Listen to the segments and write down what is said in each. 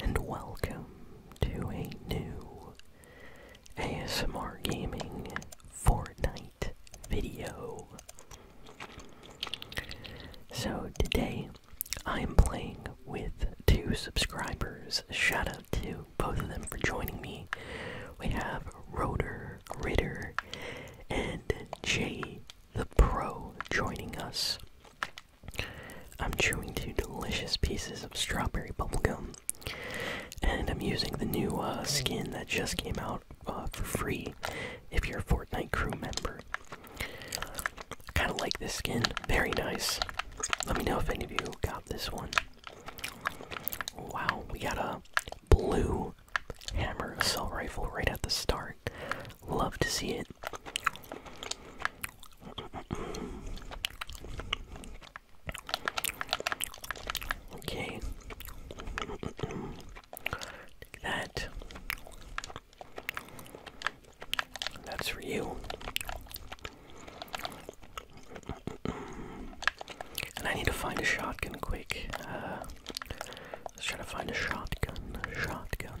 and welcome to a new ASMR Gaming Fortnite video. So today I am playing with two subscribers. Shout out to both of them for joining me. We have Roder, Ritter and Jay the Pro joining us. I'm chewing two delicious pieces of strawberry bubblegum, and I'm using the new uh, skin that just came out uh, for free if you're a Fortnite crew member. I kind of like this skin, very nice. Let me know if any of you got this one. Wow, we got a blue hammer assault rifle right at the start. Love to see it. Okay. Take that. That's for you. And I need to find a shotgun quick. Uh, let's try to find a shotgun. Shotgun.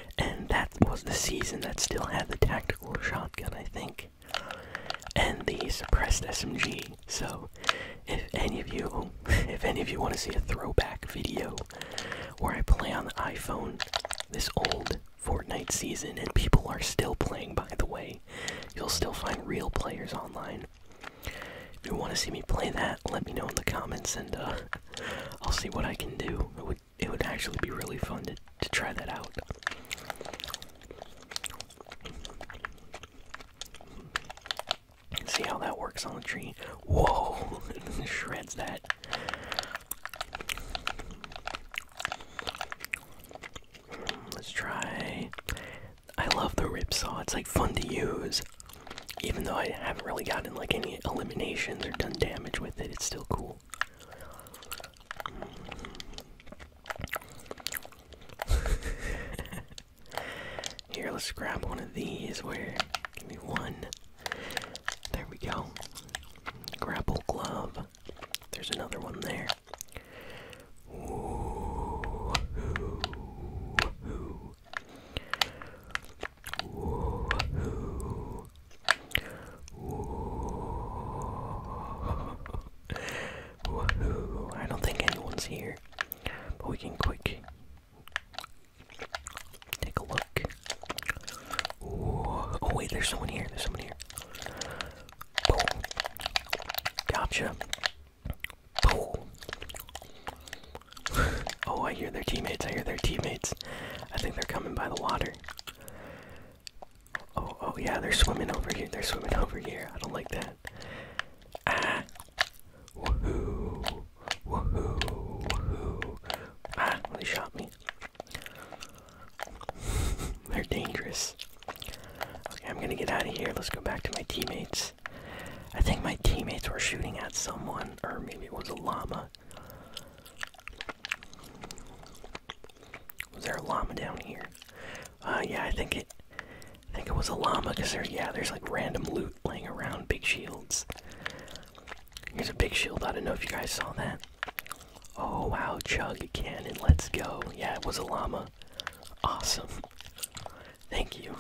and that was the season that still had the tactical shotgun, I think, and the suppressed SMG. So, if any of you, if any of you want to see a throwback video where I play on the iPhone this old Fortnite season, and people are still playing, by the way, you'll still find real players online. If you want to see me play that, let me know in the comments, and uh, I'll see what I can do it would actually be really fun to, to try that out. See how that works on the tree. Whoa! Shreds that. Let's try. I love the rip saw. It's like fun to use. Even though I haven't really gotten like any eliminations or done damage with it, it's still cool. Here, let's grab one of these. Where? Give me one. There we go. Grapple glove. There's another one there. Ooh. Ooh. Woohoo! I don't think anyone's here, but we can quick take a look. Ooh. Oh wait, there's someone here. There's someone here. Gotcha. Oh, I hear their teammates. I hear their teammates. I think they're coming by the water. Oh, oh, yeah, they're swimming over here. They're swimming over here. I don't like that. Ah. Woohoo. Woohoo. Woohoo. Ah, they shot me. they're dangerous. Okay, I'm gonna get out of here. Let's go back to my teammates. I think my teammates were shooting at someone, or maybe it was a llama. Was there a llama down here? Uh, yeah, I think it. I think it was a llama, cause there, yeah, there's like random loot laying around. Big shields. Here's a big shield. I don't know if you guys saw that. Oh wow, chug cannon. Let's go. Yeah, it was a llama. Awesome. Thank you.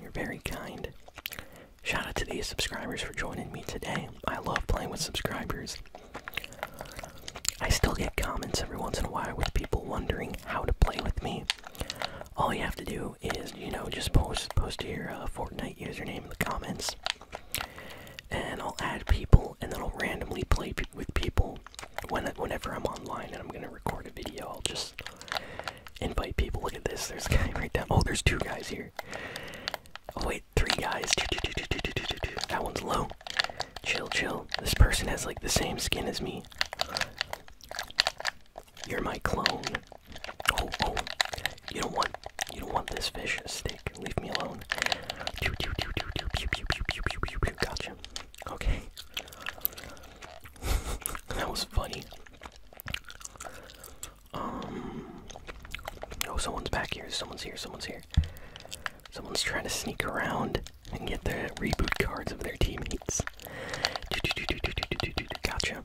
You're very kind. Shout out to these subscribers for joining me today. I love playing with subscribers. I still get comments every once in a while with people wondering how to play with me. All you have to do is, you know, just post post your uh, Fortnite username in the comments, and I'll add people, and then I'll randomly play with people whenever I'm online and I'm gonna record a video. I'll just Invite people. Look at this. There's a guy right down. Oh, there's two guys here. Oh wait, three guys. That one's low. Chill, chill. This person has like the same skin as me. You're my clone. Oh, oh. You don't want you don't want this fish stick. Leave me alone. Gotcha. Okay. that was funny. Oh, someone's back here. Someone's here. Someone's here. Someone's trying to sneak around and get the reboot cards of their teammates. Gotcha.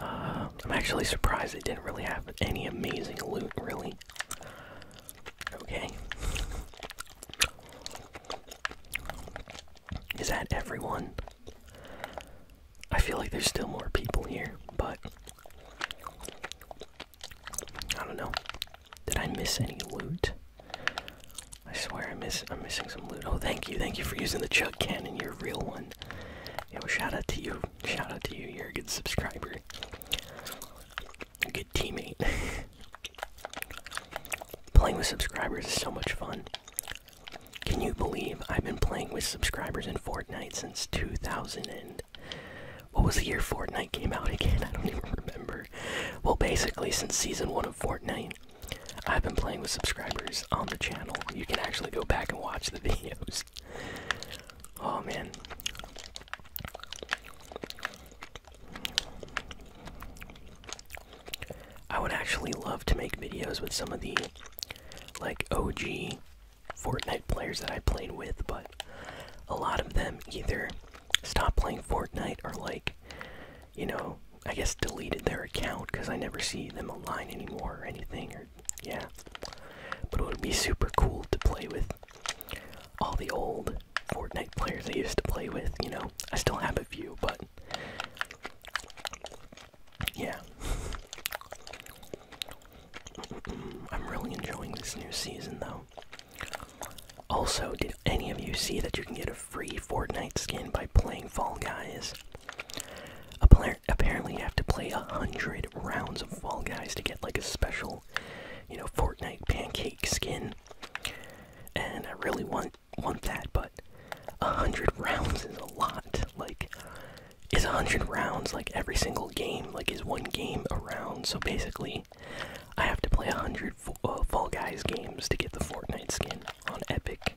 Uh, I'm actually surprised they didn't really have any amazing loot, really. Okay. Is that everyone? I feel like there's still more people here, but I don't know. Did I miss any loot? I swear I miss I'm missing some loot. Oh thank you, thank you for using the Chuck cannon, you're a real one. Yo, shout out to you. Shout out to you, you're a good subscriber. A good teammate. playing with subscribers is so much fun. Can you believe I've been playing with subscribers in Fortnite since 2000 and what was the year Fortnite came out again? I don't even remember. Well, basically since season 1 of Fortnite, I've been playing with subscribers on the channel. You can actually go back and watch the videos. Oh man. I would actually love to make videos with some of the like OG Fortnite players that I played with, but a lot of them either stopped playing Fortnite or like, you know, I guess deleted their account because I never see them online anymore or anything or yeah. But it would be super cool to play with all the old Fortnite players I used to play with, you know. I still have a few, but yeah. I'm really enjoying this new season though. Also, did any of you see that you can get a free Fortnite skin by playing Fall Guys? Apparently, you have to play a hundred rounds of Fall Guys to get like a special, you know, Fortnite pancake skin and I really want want that, but a hundred rounds is a lot. Like, is a hundred rounds like every single game? Like, is one game a round? So basically, I have to play a hundred uh, Fall Guys games to get the Fortnite skin on Epic.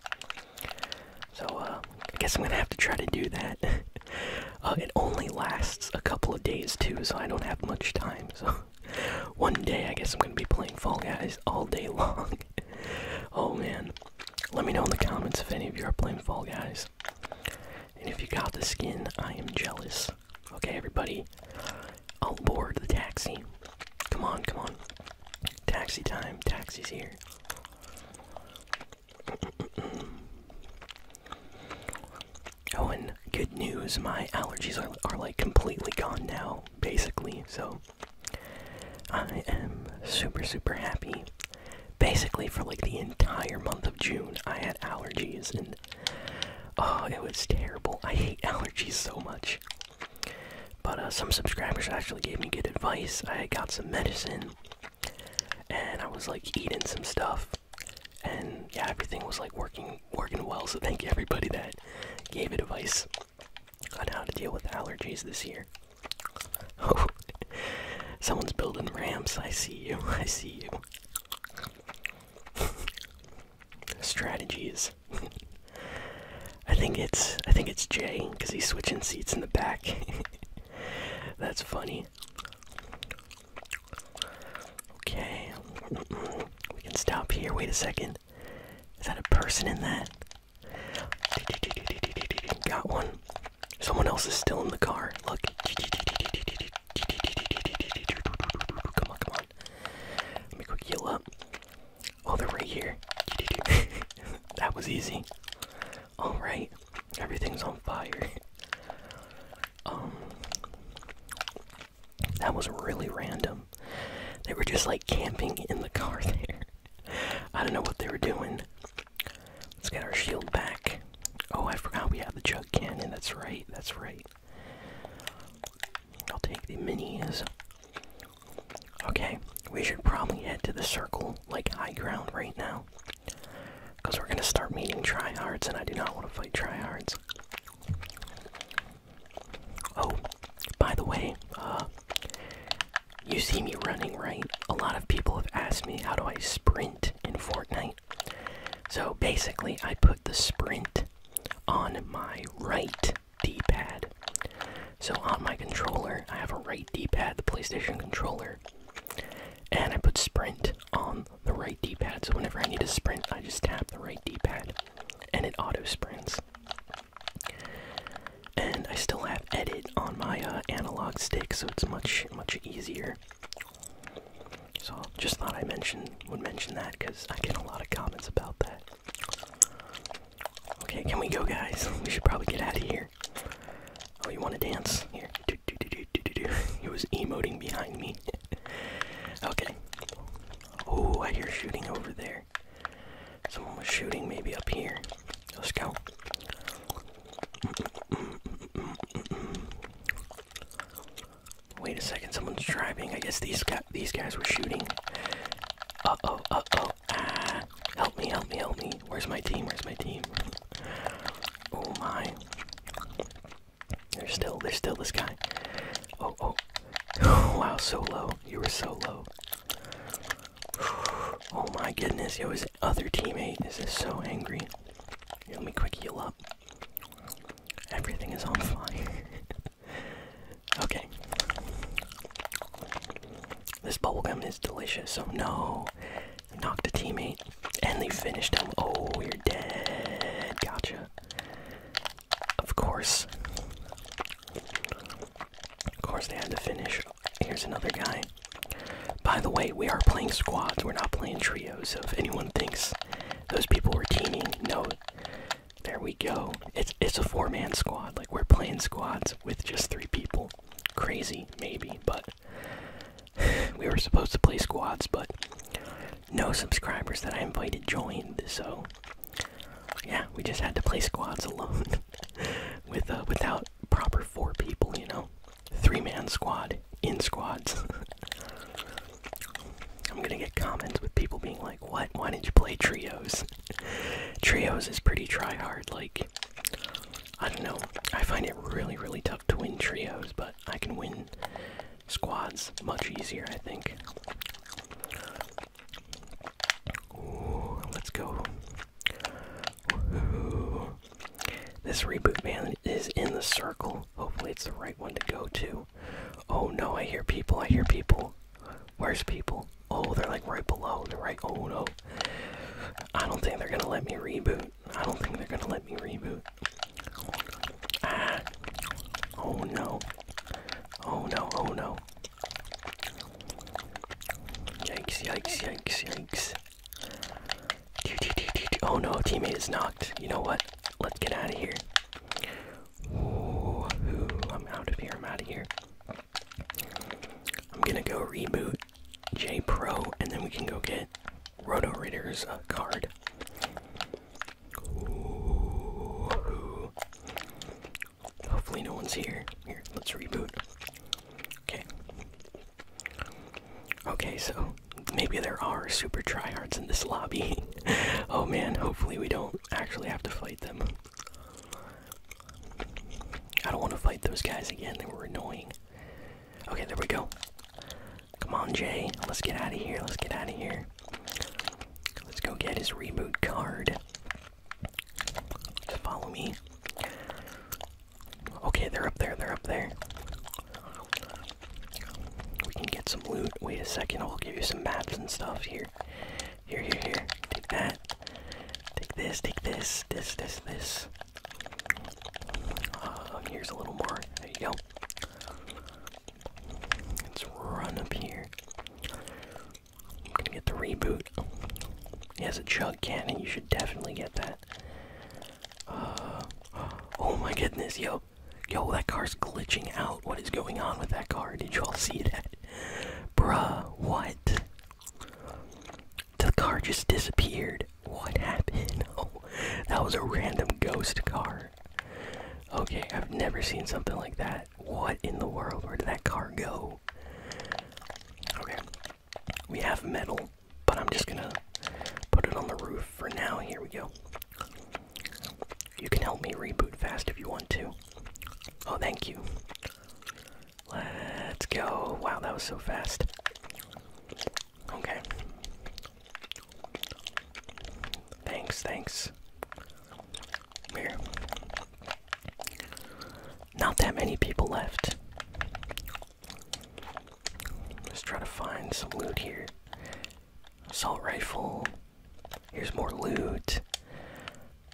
So uh, I guess I'm gonna have to try to do that. Uh, it only lasts a couple of days too, so I don't have much time. So one day, I guess I'm gonna be playing Fall Guys all day long. oh man, let me know in the comments if any of you are playing Fall Guys. And if you got the skin, I am jealous. Okay, everybody, I'll board the taxi. Come on, come on. Taxi time, taxi's here. Oh, and good news, my allergies are, are like completely gone now, basically, so I am super, super happy. Basically, for like the entire month of June, I had allergies, and oh, it was terrible. I hate allergies so much. But uh, some subscribers actually gave me good advice. I got some medicine, and I was like eating some stuff and yeah, everything was like working working well. So thank you everybody that gave advice on how to deal with allergies this year. Oh, someone's building ramps. I see you. I see you. Strategies. I think it's I think it's Jay because he's switching seats in the back. That's funny. Okay. We can stop here. Wait a second. Is that a person in that? Got one. Someone else is still in the car. Look. Come on, come on. Let me quick heal up. Oh, they're right here. that was easy. Alright. Everything's on fire. Um. That was really random. They were just like camping in the car there. I don't know what they were doing. Let's get our shield back. Oh, I forgot we have the jug cannon. That's right, that's right. I'll take the minis. Okay, we should probably head to the circle, like high ground right now. Because we're gonna start meeting tryhards, and I do not want to fight tryhards. Oh, by the way, uh, you see me running, right? A lot of people have asked me how do I sprint in Fortnite. So basically, I put the sprint on my right D-pad. So on my controller, I have a right D-pad, the PlayStation controller, and I put sprint on the right D-pad. So whenever I need to sprint, I just tap the right D-pad and it auto sprints. And I still have edit on my uh, analog stick, so it's much much easier. So just thought I mention would mention that because I get a lot of comments about that. Okay, can we go, guys? We should probably get out of here. Oh, you want to dance? Here, it was emoting behind me. okay, Oh, I hear shooting over there. Someone was shooting maybe up here. Let's go. Wait a second, someone's driving. I guess these guys, these guys were shooting. Uh oh, uh oh. Ah, help me, help me, help me. Where's my team? Where's my team? Oh my. There's still there's still this guy. Oh oh. wow, so low. You were so low. Oh my goodness, yo, his other teammate is so angry. Here, let me quick heal up. Everything is on fire. okay. This bubble gum is delicious, so no. Knocked a teammate. And they finished him. Oh, you're dead. Gotcha. Of course. Of course, they had to finish. Here's another guy. By the way, we are playing squads, we're not playing trios, so if anyone thinks those people were teaming, no. There we go. It's it's a four-man squad. Like we're playing squads with just three people. Crazy, maybe, but we were supposed to play squads, but no subscribers that I invited joined, so yeah, we just had to play squads alone with uh, without proper four people, you know, three man squad in squads. I'm gonna get comments with people being like, "What? Why did you play trios?" trios is pretty try hard. Like, I don't know. I find it really, really tough to win trios, but I can win squads much easier, I think. let's go. This reboot man is in the circle. Hopefully, it's the right one to go to. Oh no, I hear people. I hear people. Where's people? Oh, they're like right below. They're right. Oh no. I don't think they're gonna let me reboot. I don't think they're gonna let me reboot. Ah. Oh no. Oh no, oh no. Yikes, yikes, yikes, yikes. Oh no, teammate is knocked. You know what? Let's get out of here. Ooh, I'm out of here, I'm out of here. I'm gonna go reboot J Pro and then we can go get Roto Reader's uh, card. Hopefully no one's here. Here, let's reboot. Okay. Okay, so maybe there are super tryhards in this lobby. oh man, hopefully we don't actually have to fight them. I don't want to fight those guys again, they were annoying. Okay, there we go. Come on, Jay. Let's get out of here. Let's get out of here. Let's go get his reboot card. Follow me. Okay, they're up there. They're up there. We can get some loot. Wait a second. I'll give you some maps and stuff here. Here, here, here. Take that. Take this. Take this. This, this, this. Uh, here's a little more. There you go. Let's run up here. I'm gonna get the reboot. He has a chug cannon, you should definitely get that. Uh, oh my goodness, yo. Yo, that car's glitching out. What is going on with that car? Did you all see that? Bruh, what? The car just disappeared. What happened? Oh, that was a random ghost car. Okay, I've never seen something like that. What in the world? Where did that car go? Okay, we have metal, but I'm just gonna put it on the roof for now. Here we go. You can help me reboot fast if you want to. Oh, thank you. Let's go. Wow, that was so fast. Okay. Thanks, thanks. Here. Not that many people left. Let's try to find some loot here. Assault rifle. Here's more loot.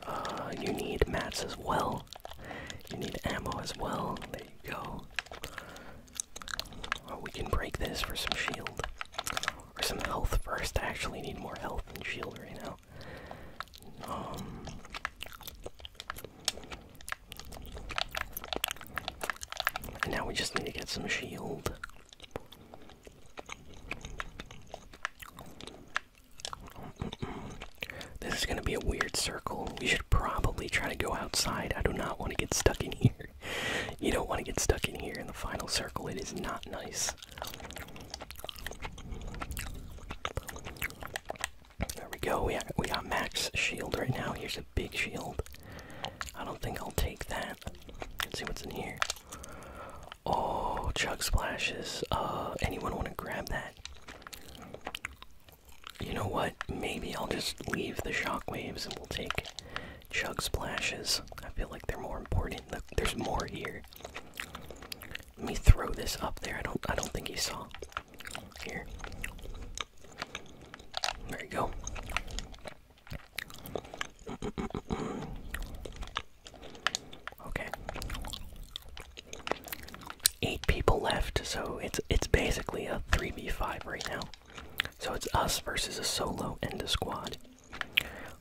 Uh, you need mats as well. You need ammo as well. There you go. Oh, we can break this for some shield. Or some health first. I actually need more health than shield right now. Um, and now we just need to get some shield. This is gonna be a weird circle. We should probably try to go outside. I do not want to get stuck in here. You don't want to get stuck in here in the final circle. It is not nice. There we go. We got, we got max shield right now. Here's a big shield. I don't think I'll take that. Let's see what's in here. Oh, chug splashes. Uh, anyone want to grab that? You know what? Maybe I'll just leave the shockwaves and we'll take chug splashes. I feel like they're more important. there's more here. Let me throw this up there. I don't I don't think he saw. Here. There you go. Okay. Eight people left, so it's it's basically a 3v5 right now. So it's us versus a solo and a squad.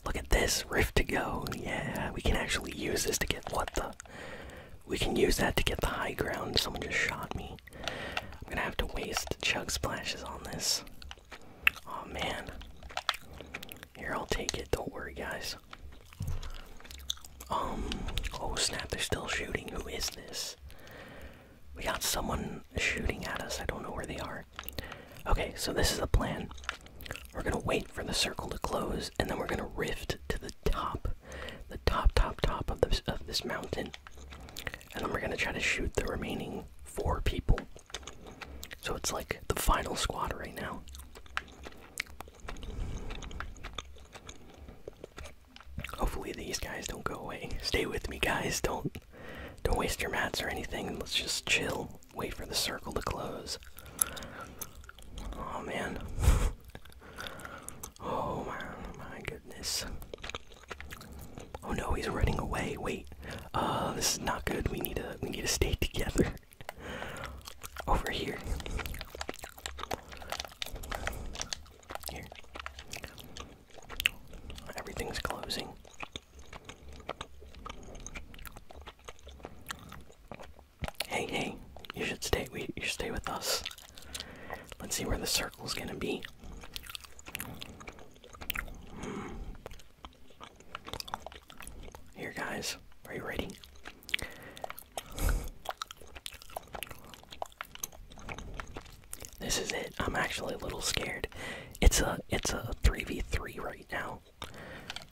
Look at this, Rift to go. Yeah, we can actually use this to get what the. We can use that to get the high ground. Someone just shot me. I'm gonna have to waste chug splashes on this. Oh man. Here, I'll take it. Don't worry, guys. Um. Oh snap! They're still shooting. Who is this? We got someone shooting at us. I don't know where they are. Okay, so this is the plan. We're gonna wait for the circle to close, and then we're gonna rift to the top, the top, top, top of this of this mountain, and then we're gonna try to shoot the remaining four people. So it's like the final squad right now. Hopefully these guys don't go away. Stay with me, guys. Don't don't waste your mats or anything. Let's just chill. Wait for the circle to close. Oh man. oh my, goodness. Oh no, he's running away. Wait. Uh this is not good. We need to we need to stay together. Over here. Here. Everything's closing. Hey, hey, you should stay. We, you stay with us. Let's see where the circle's gonna be. Hmm. Here, guys, are you ready? This is it. I'm actually a little scared. It's a it's a 3v3 right now.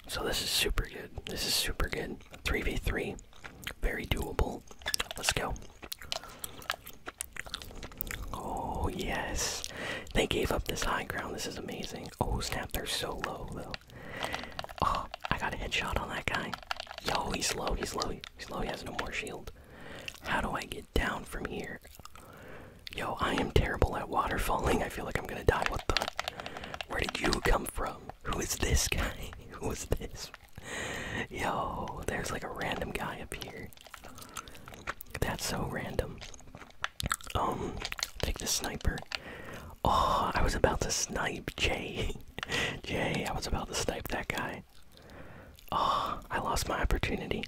So this is super good. This is super good. 3v3. Very doable. Let's go. Oh yes. They gave up this high ground. This is amazing. Oh snap, they're so low though. Oh, I got a headshot on that guy. Yo, he's slow. he's slow. he's slow. he has no more shield. How do I get down from here? Yo, I am terrible at waterfalling. I feel like I'm gonna die. What the? Where did you come from? Who is this guy? Who is this? Yo, there's like a random guy up here. That's so random. Um, take the sniper. Oh, I was about to snipe Jay. Jay, I was about to snipe that guy. Oh, I lost my opportunity.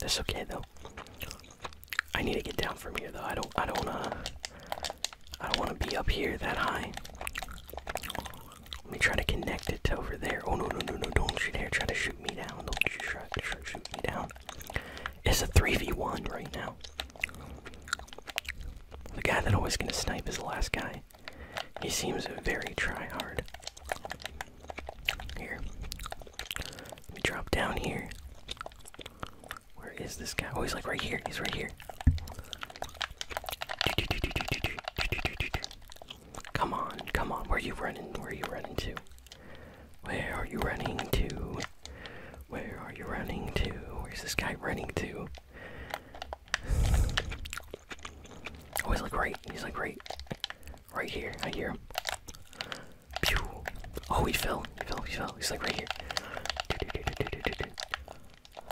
That's okay though. I need to get down from here though. I don't I don't uh I don't wanna be up here that high. Let me try to connect it to over there. Oh no no no no don't shoot there! try to shoot me down. Don't shoot me down. It's a 3v1 right now. The guy that always gonna snipe is the last guy. He seems very try hard. Here. Let me drop down here. Where is this guy? Oh, he's like right here. He's right here. Come on, come on. Where are you running? Where are you running to? Where are you running to? Where are you running to? Where's this guy running to? Always oh, like right. He's like right. Right here. I hear him. Pew. Oh, he fell. He fell. He fell. He's like right here.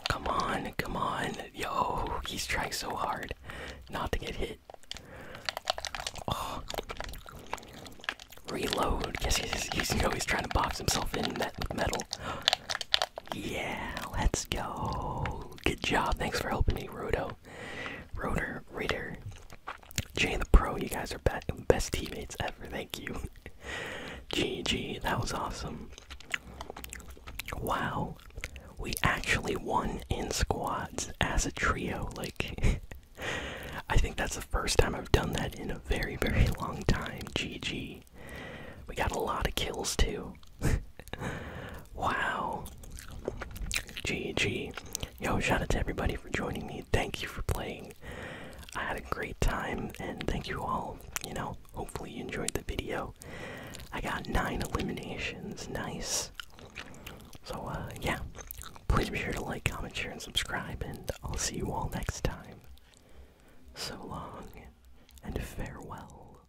Come on. Come on. Yo, he's trying so hard not to get hit. Oh. Reload. Yes, he's, he's, you know, he's trying to box himself in met metal. Yeah, let's go. Good job. Thanks for helping me, Rudo. Rotor Reader. Jay the Pro, you guys are best teammates ever. Thank you. GG, that was awesome. Wow, we actually won in squads as a trio. Like, I think that's the first time I've done that in a very, very long time. GG. We got a lot of kills too. wow. GG. Yo, shout out to everybody for joining me. Thank you for playing. I had a great time, and thank you all. You know, hopefully you enjoyed the video. I got nine eliminations. Nice. So, uh, yeah. Please be sure to like, comment, share, and subscribe, and I'll see you all next time. So long, and farewell.